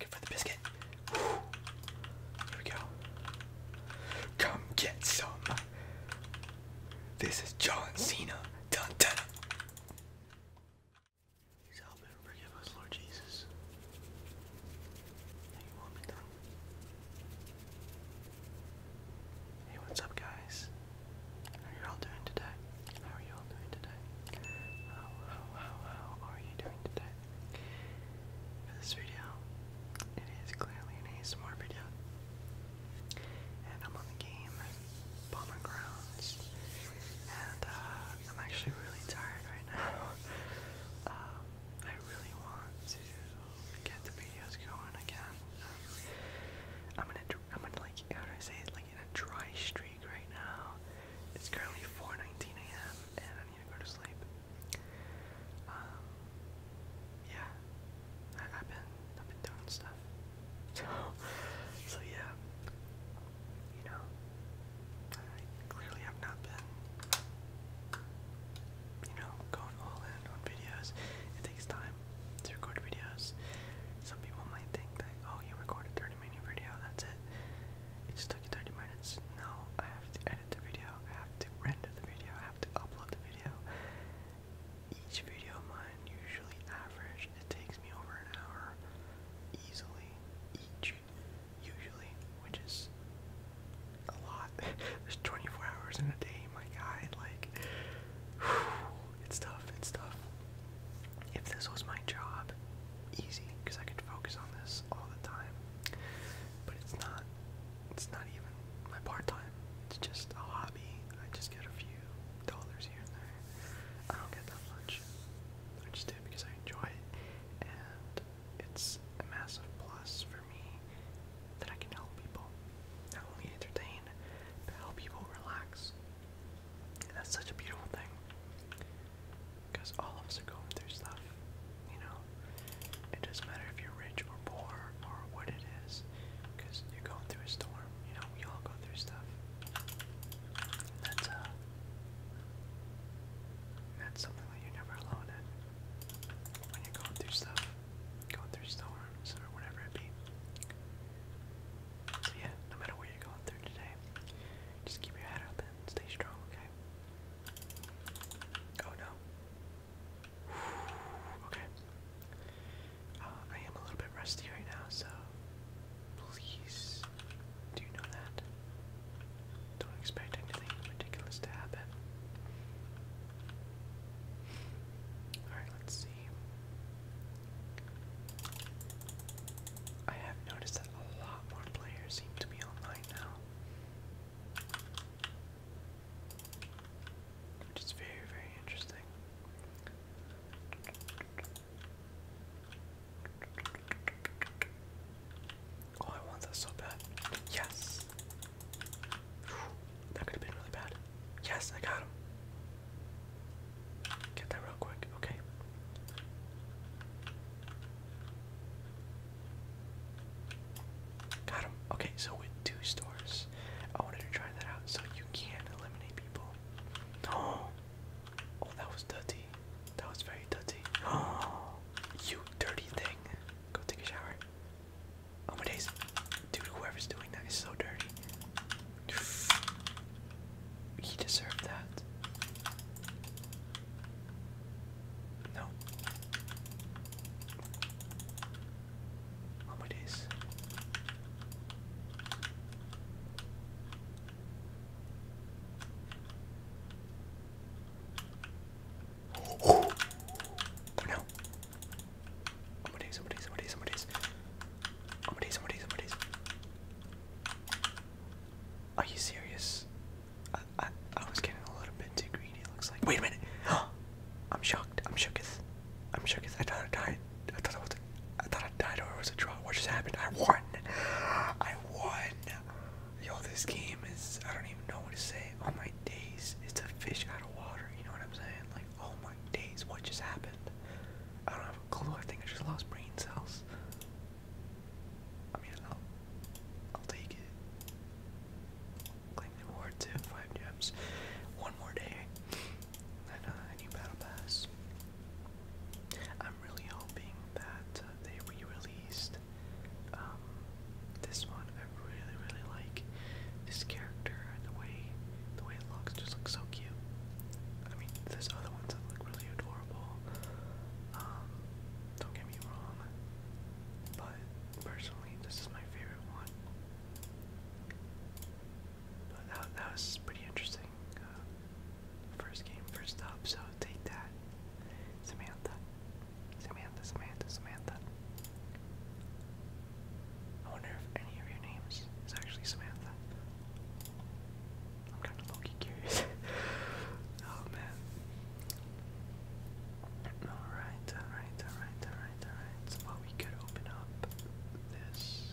let for the biscuit. Whew. we go. Come get some. This is John Cena. Dun dun. Please help and forgive us, Lord Jesus. Hey, what's up, guys? How are you all doing today? How are you all doing today? How, how, how, how are you doing today? For this video, it is clearly an ASMR video. And I'm on the game, Bomber And uh, I'm actually really tired right now. Um, I really want to get the videos going again. Um, I'm gonna, I'm gonna like, how do I say it? Like in a dry streak right now. It's currently 4:19 a.m. and I need to go to sleep. Um, yeah, I've been, I've been doing stuff. So, so yeah, you know, I clearly have not been, you know, going all in on videos. It takes time to record videos. Some people might think that, oh, you recorded 30 minute video, that's it. It just took you 30 minutes. No, I have to edit the video, I have to render the video, I have to upload the video. Each video of mine, usually average, it takes me over an hour easily. Each usually, which is a lot. There's 24 hours in a day, my God. Like, it's tough. It's tough. If this was my job, easy, because I could focus on this all the time. But it's not. It's not even my part time. It's just a hobby. I just get a few dollars here and there. I don't get that much. I just do because I enjoy it, and it's a massive plus for me that I can help people. Not only entertain, but help people relax. that's such a beautiful thing. Because all of us are going through stuff, you know? It doesn't matter if you're rich or poor or what it is, because you're going through a storm, you know? We all go through stuff. that's, uh, that's something that you're never alone in when you're going through stuff, going through storms or whatever it be. yeah, no matter what you're going through today, just keep your head up and stay strong, okay? Oh no. Okay. Uh, I am a little bit rusty right now, so please do know that. Don't expect anything ridiculous to happen. Alright, let's see. I have noticed that a lot more players seem to be online now. Which is very, very interesting. Oh, I want that so bad. Yes. that could have been really bad. Yes, I got him. Get that real quick. Okay. Got him. Okay, so with two stores, I wanted to try that out. So you can eliminate people. Oh, oh, that was dirty. That was very dirty. Oh, you dirty thing. Go take a shower. Oh my days. Dude, whoever's doing that is so dirty. He deserved that. No. Oh my days no. Somebody, somebody, somebody, somebody's. Somebody, somebody, somebody's. Are you serious? I, I, I was getting a little bit too greedy, it looks like. Wait a minute. I'm shocked. I'm shocked. I'm shooketh. I thought I died. I thought I was. I thought I died or it was a draw. What just happened? I won. I won. Yo, this game is, I don't even know what to say. All oh, my days, it's a fish out of water, you know what I'm saying? Like, oh my days, what just happened? I don't have a clue, I think I just lost brain cells. I mean, I'll, take it. Claim the reward too, five gems. One more day, and uh, a new battle pass. I'm really hoping that uh, they re-released um, this one I really really like. This character and the way the way it looks just looks so cute. I mean, there's other ones that look really adorable. Um, don't get me wrong, but personally, this is my favorite one. But that, that was pretty interesting. Uh, first game, first stop. so take that, Samantha. Samantha, Samantha, Samantha. I wonder if any of your names is actually Samantha. I'm kind of low curious. oh man. Alright, alright, alright, alright, alright. well, we could open up this.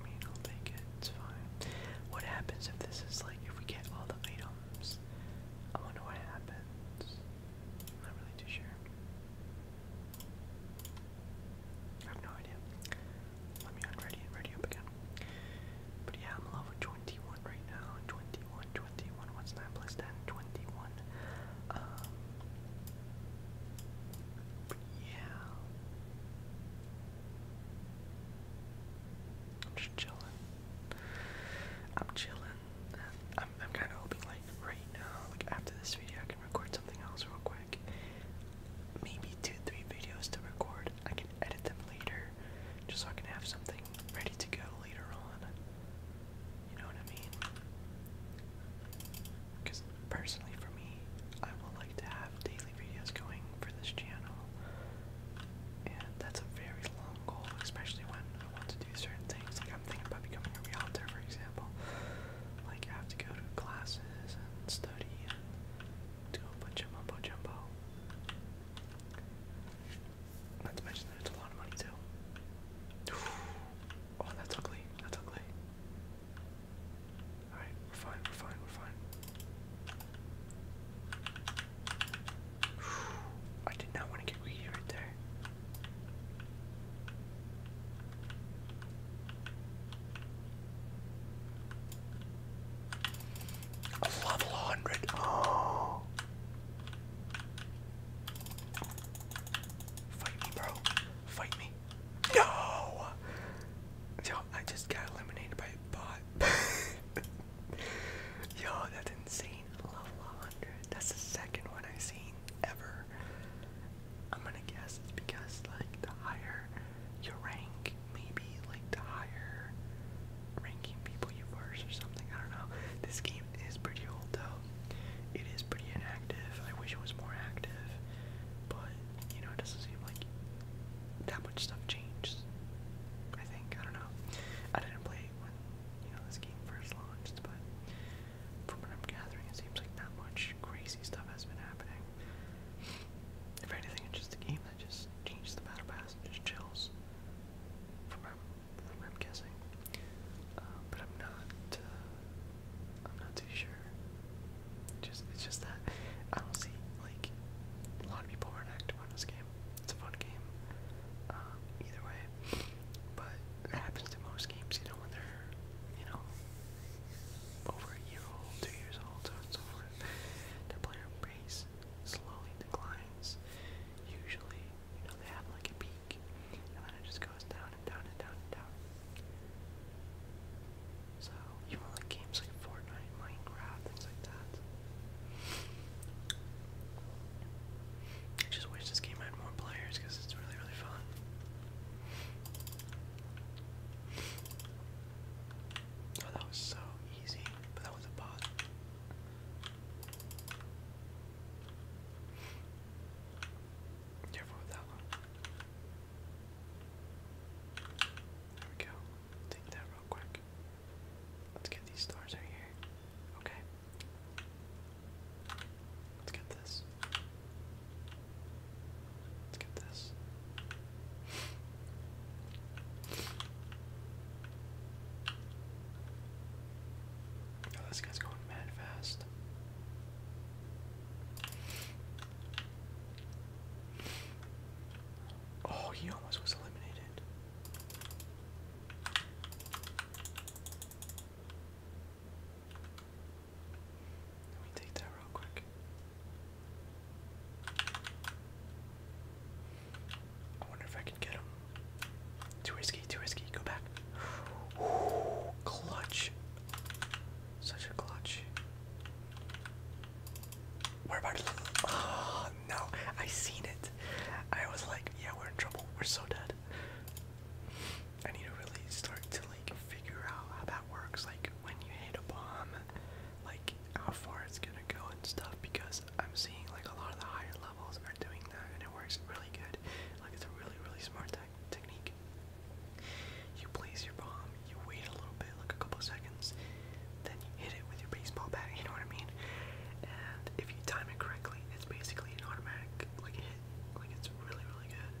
I mean, it's fine. What happens if this is like, if we get all the items? I wonder what happens. am not really too sure. I have no idea. Let me on and ready up again. But yeah, I'm level 21 right now. 21, What's 9 plus 10? 21. Um, yeah. just chilling. I'm chilling. I'm, I'm kind of hoping, like, right now, like, after this video, I can record something else real quick. Maybe two, three videos to record. I can edit them later, just so I can have something ready to go later on. You know what I mean? Because personally, for me, I would like to have daily videos going for this channel. And that's a very long goal, especially when I want to do certain things. Like I'm thinking about becoming a realtor, for example. Like you have to go to classes and study and do a bunch of mumbo jumbo. Not to mention that it's a lot of money too. Oh, that's ugly. That's ugly. Alright, we're fine, we're fine, we're fine. I did not want to get greedy right there. level 100. Oh. Fight me, bro. Fight me. No! Yo, I just got eliminated by a bot. Yo, that's insane. Level 100. That's the second one I've seen ever. I'm gonna guess it's because, like, the higher your rank, maybe, like, the higher ranking people you verse or something. I don't know. This game is pretty old, though. It is pretty inactive. I wish it was more active, but, you know, it doesn't seem like that much stuff changed. I think I don't know. I didn't play when you know this game first launched, but from what I'm gathering, it seems like that much crazy stuff has been happening. If anything, it's just a game that just changes the battle pass and just chills. From what I'm, guessing, um, but I'm not. Uh, I'm not too sure. Just it's just that I don't see like a lot of people are active on this game it's a fun game. Uh, either way, but it happens to most games, you know, when they're, you know, over a year old, two years old, so and so forth. The player base slowly declines. Usually, you know, they have like a peak, and then it just goes down and down and down and down. So, you want games like Fortnite, Minecraft, things like that. I just wish this game had more players because it's really, really fun. Oh, that was so easy, but that was a bot. Careful with that one. There we go. Take that real quick. Let's get these stars right here. Okay. Let's get this. Let's get this. Oh, this guy's going mad fast. Oh, he almost was eliminated. Let me take that real quick. I wonder if I can get him. Too risky, too risky. Go back. clutch. Such a clutch we about Oh no, I seen it. I was like, yeah, we're in trouble. We're so dead. I need to really start to like figure out how that works, like when you hit a bomb, like how far it's gonna go and stuff because I'm seeing like a lot of the higher levels are doing that and it works really good. Like it's a really, really smart technique. You place your bomb, you wait a little bit, like a couple seconds, then you hit it with your baseball bat, you know what I mean? And if you time it correctly, it's basically an automatic like hit. Like it's really, really good.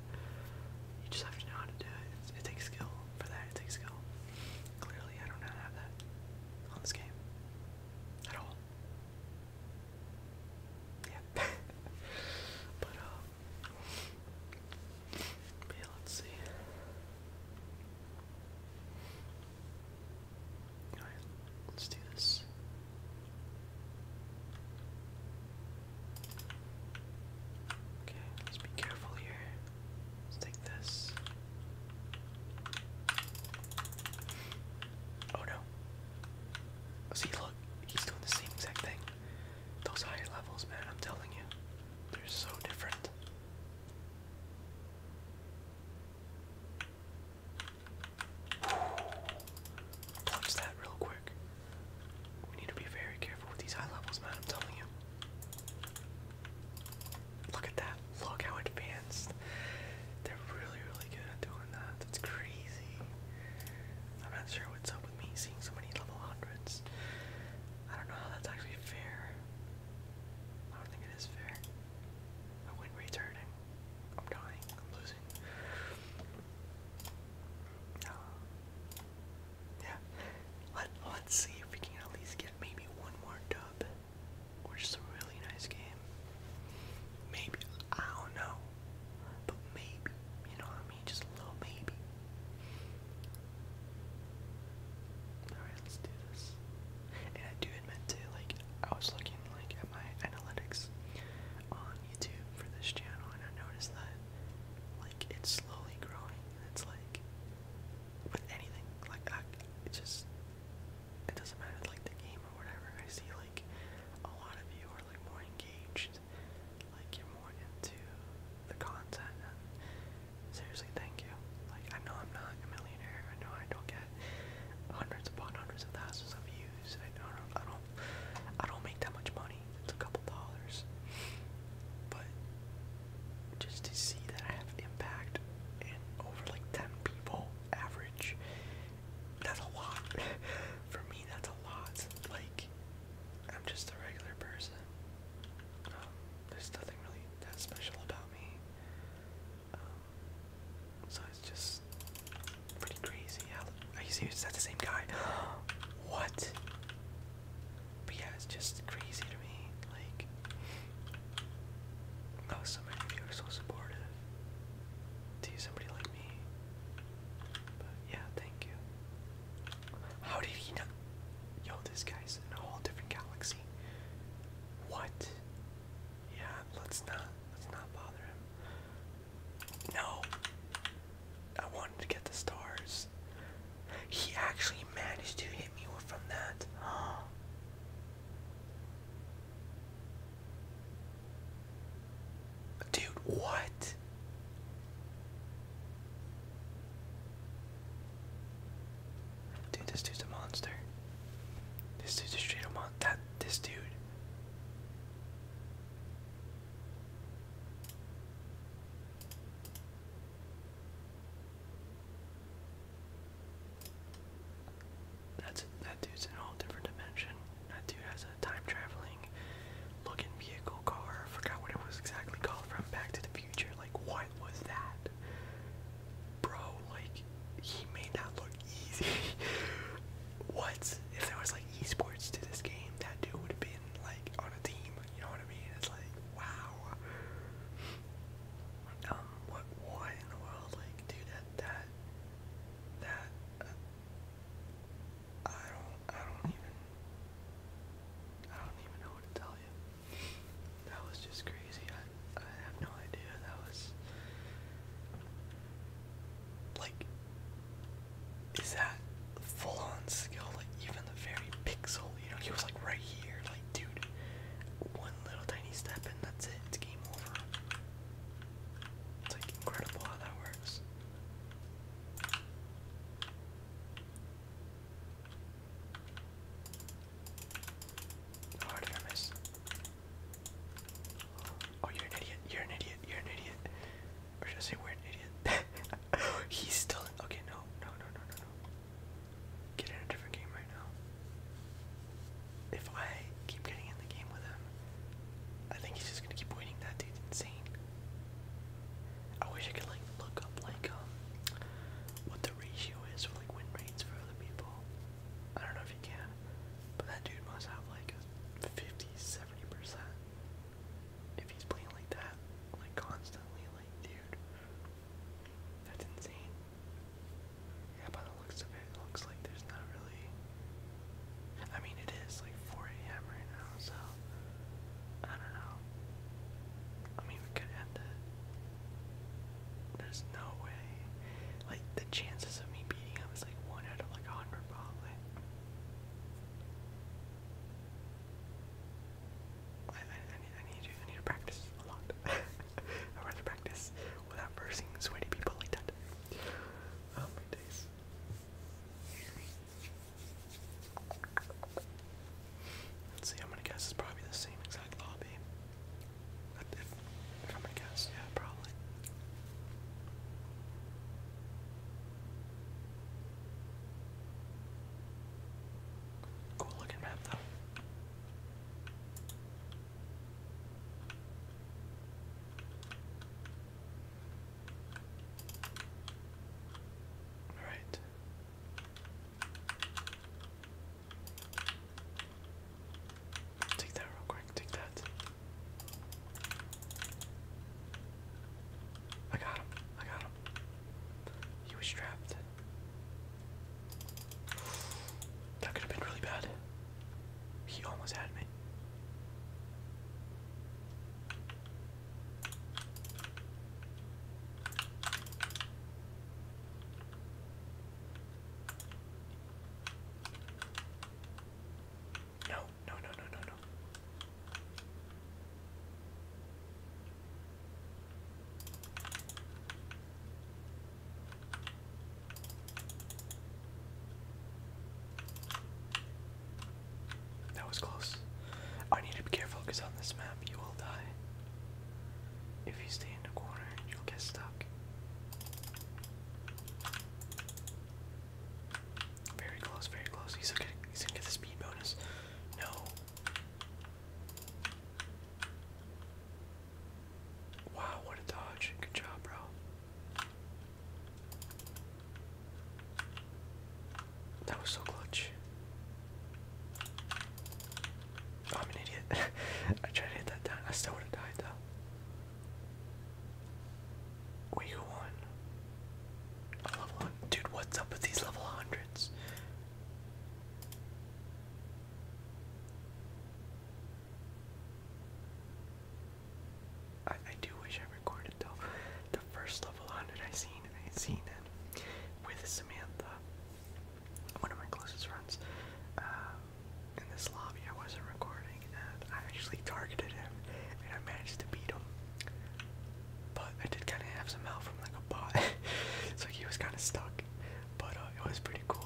You just have to know how to do it. it takes skill for that. It takes skill. Clearly, I don't know how to have that on this game at all. Yeah. but um, yeah, let's see let's do this. Okay, let's be careful here. Let's take this. Oh no. See, look, he's doing the same exact thing. Those higher levels, man, I'm telling you. They're so different. Dodge that real quick. We need to be very careful with these high levels, man. I'm telling you. Look at that. Look how advanced. They're really, really good at doing that. That's crazy. I'm not sure what's up with me seeing so many level hundreds. I don't know how that's actually fair. I don't think it is fair. My win rate's hurting. I'm dying. I'm losing. Um, yeah. Let, let's see if we can at least get maybe one more dub. Or just a really nice game. Maybe. I don't know. But maybe. You know what I mean? Just a little maybe. Alright, let's do this. And I do admit to like I was looking like at my analytics on YouTube for this channel and I noticed that like it's slowly growing and it's like with anything, like I just it doesn't matter like the game or whatever. I see like a lot of you are like more engaged, like you're more into the content and seriously, thank you. Like, I know I'm not a millionaire. I know I don't get hundreds upon hundreds of thousands of views. I don't, I don't, I don't make that much money. It's a couple dollars. But just to see that I have impact and over like 10 people average, that's a lot. For me, that's a lot. Like, I'm just a regular person. Um, there's nothing really that's special about me. Um, so it's just pretty crazy. are you serious? Is that the same guy? what? But yeah, it's just crazy to me. Like, how oh, so many so supportive to somebody like me. But yeah, thank you. How did he not? Yo, this guy's in a whole different galaxy. What? Yeah, let's not let's not bother him. No. I wanted to get the stars. He actually managed to hit me from that. Dude, what? Dude, this dude's a monster. This dude's a straight up mon- that- this dude. That's- that dude's in a whole different dimension. That dude has a time traveling looking vehicle car. I forgot what it was exactly called from Back to the Future. Like, what was that? bro, like he made that look easy. what if there was like esports to this game? That dude would have been like on a team. You know what I mean? It's like wow. Um, what? Why in the world? Like, dude, that that that. Uh, I don't. I don't even. I don't even know what to tell you. That was just crazy. I, have no idea. That was. Like. Is that full on skill? Like, even the very pixel, you know, he was like right here. Like, dude, one little tiny step and that's it. It's game over. It's like incredible how that works. Oh, miss? Oh, you're an idiot. You're an idiot. You're an idiot. Or should I say we're an idiot? He's still in. Okay, no, no, no, no, no, no. Get in a different game right now. If I keep getting in the game with him, I think he's just gonna keep winning. That dude's insane. I wish I could like look up like um, what the ratio is for like win rates for other people. I don't know if you can, but that dude must have like 50, 70% if he's playing like that, like constantly, like dude, that's insane. Yeah, by the looks of it, it looks like there's not really, I mean it is like 4 a.m. right now, so, I don't know. I mean, we could end it. There's no way. Like the chances of me beating him is like one out of like a hundred probably. I, I, need, I need to I need to practice a lot. I want practice without bursting sweaty people like that. Oh my days. Let's see, I'm gonna guess it's probably the same exact lobby. If, if i yeah, probably. Cool looking map though. All right. Take that real quick, take that. I got him, I got him. He was trapped. That could have been really bad. He almost had me. No, no, no, no, no, no. That was close. I need to be careful because on this map you will die. If you stay in the corner, you'll get stuck. Very close, very close. He's gonna, get the speed bonus. No. Wow, what a dodge. Good job, bro. That was so clutch. I'm an idiot. I tried to hit that down. I still would have died though. Wait, who won? level one. Dude, what's up with these level hundreds? I, I do wish I recorded though. The first level 100 I seen, I seen it with Samantha one of my closest friends uh, in this lobby I wasn't recording, and I actually targeted him, and I managed to beat him. But I did kind of have some help from like a bot, so he was kind of stuck. But uh, it was pretty cool.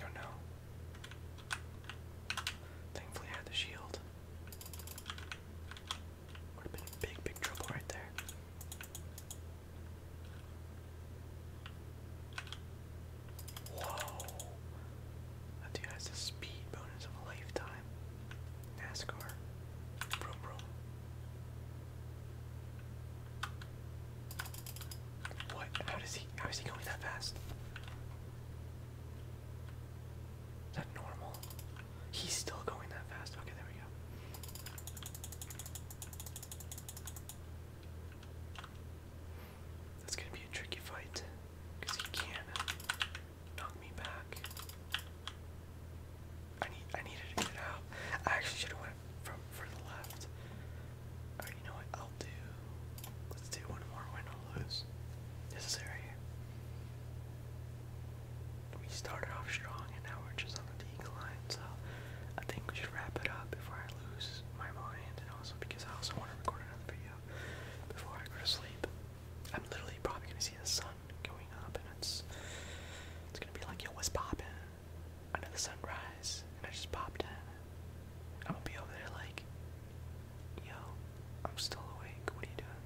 Oh, no. Thankfully, I had the shield. Would have been big, big trouble right there. Whoa! That dude has the speed bonus of a lifetime. NASCAR. Broom, broom. What? How he? How is he going that fast? Is that normal? He's still going that fast. Okay, there we go. That's gonna be a tricky fight because he can knock me back. I need I needed to get out. I actually should have went from for the left you know what? I'll do. Let's do one more win or lose. Necessary. We started off strong and now we're just on the decline, so I think we should wrap it up before I lose my mind and also because I also want to record another video before I go to sleep. I'm literally probably gonna see the sun going up and it's it's gonna be like yo what's poppin'? Another sunrise and I just popped in. I'm gonna be over there like, yo, I'm still awake. What are you doing?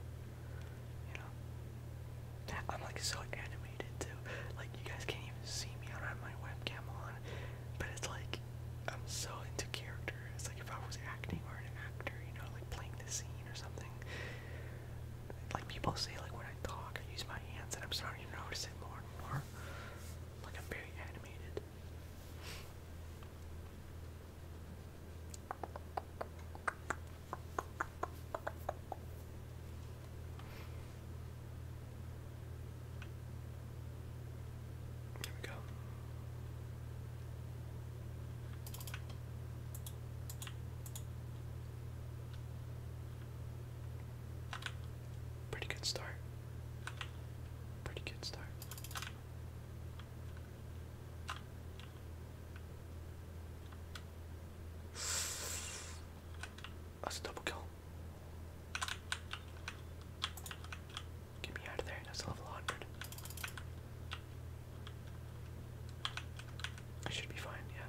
You know, I'm like so animated too. Like you guys can't even see me. I don't have my webcam on, but it's like I'm so into character. It's like if I was acting or an actor, you know, like playing the scene or something. Like people say, like when I talk, I use my hands, and I'm starting to notice it more and more. Like I'm very animated. There we go. Pretty good start. Pretty good start. That's a double kill. Get me out of there. That's level 100. I should be fine, yeah.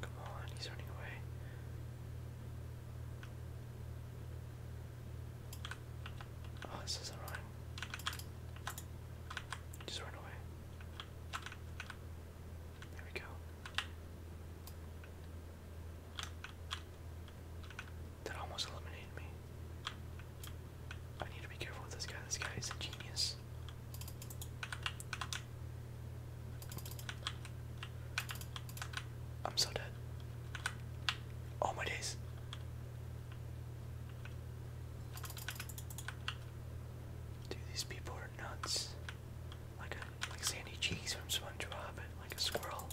Come on, he's running away. Oh, this isn't running. Just run away. There we go. That almost eliminated me. I need to be careful with this guy. This guy is a genius. I'm so dead. Oh my days. Dude, these people are nuts. Like a like Sandy Cheeks from SpongeBob like a squirrel.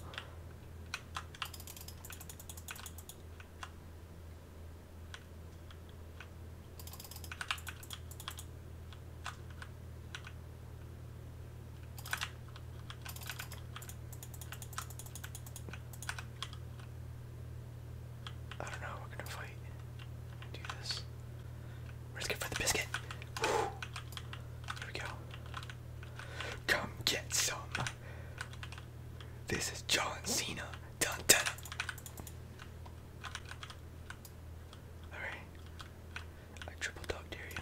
I don't know, we're gonna fight. Do this. We're just gonna fight the biscuit. Woo. Here we go. Come get some. This is John Cena. Dun dun. Alright. I triple dog dare you.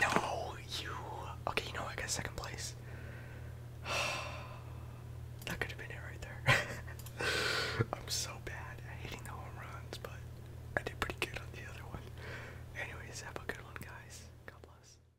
No, you. Okay, you know I got second place. that could have been it right there. I'm so bad at hitting home runs, but I did pretty good on the other one. Anyways, have a good one, guys. God bless.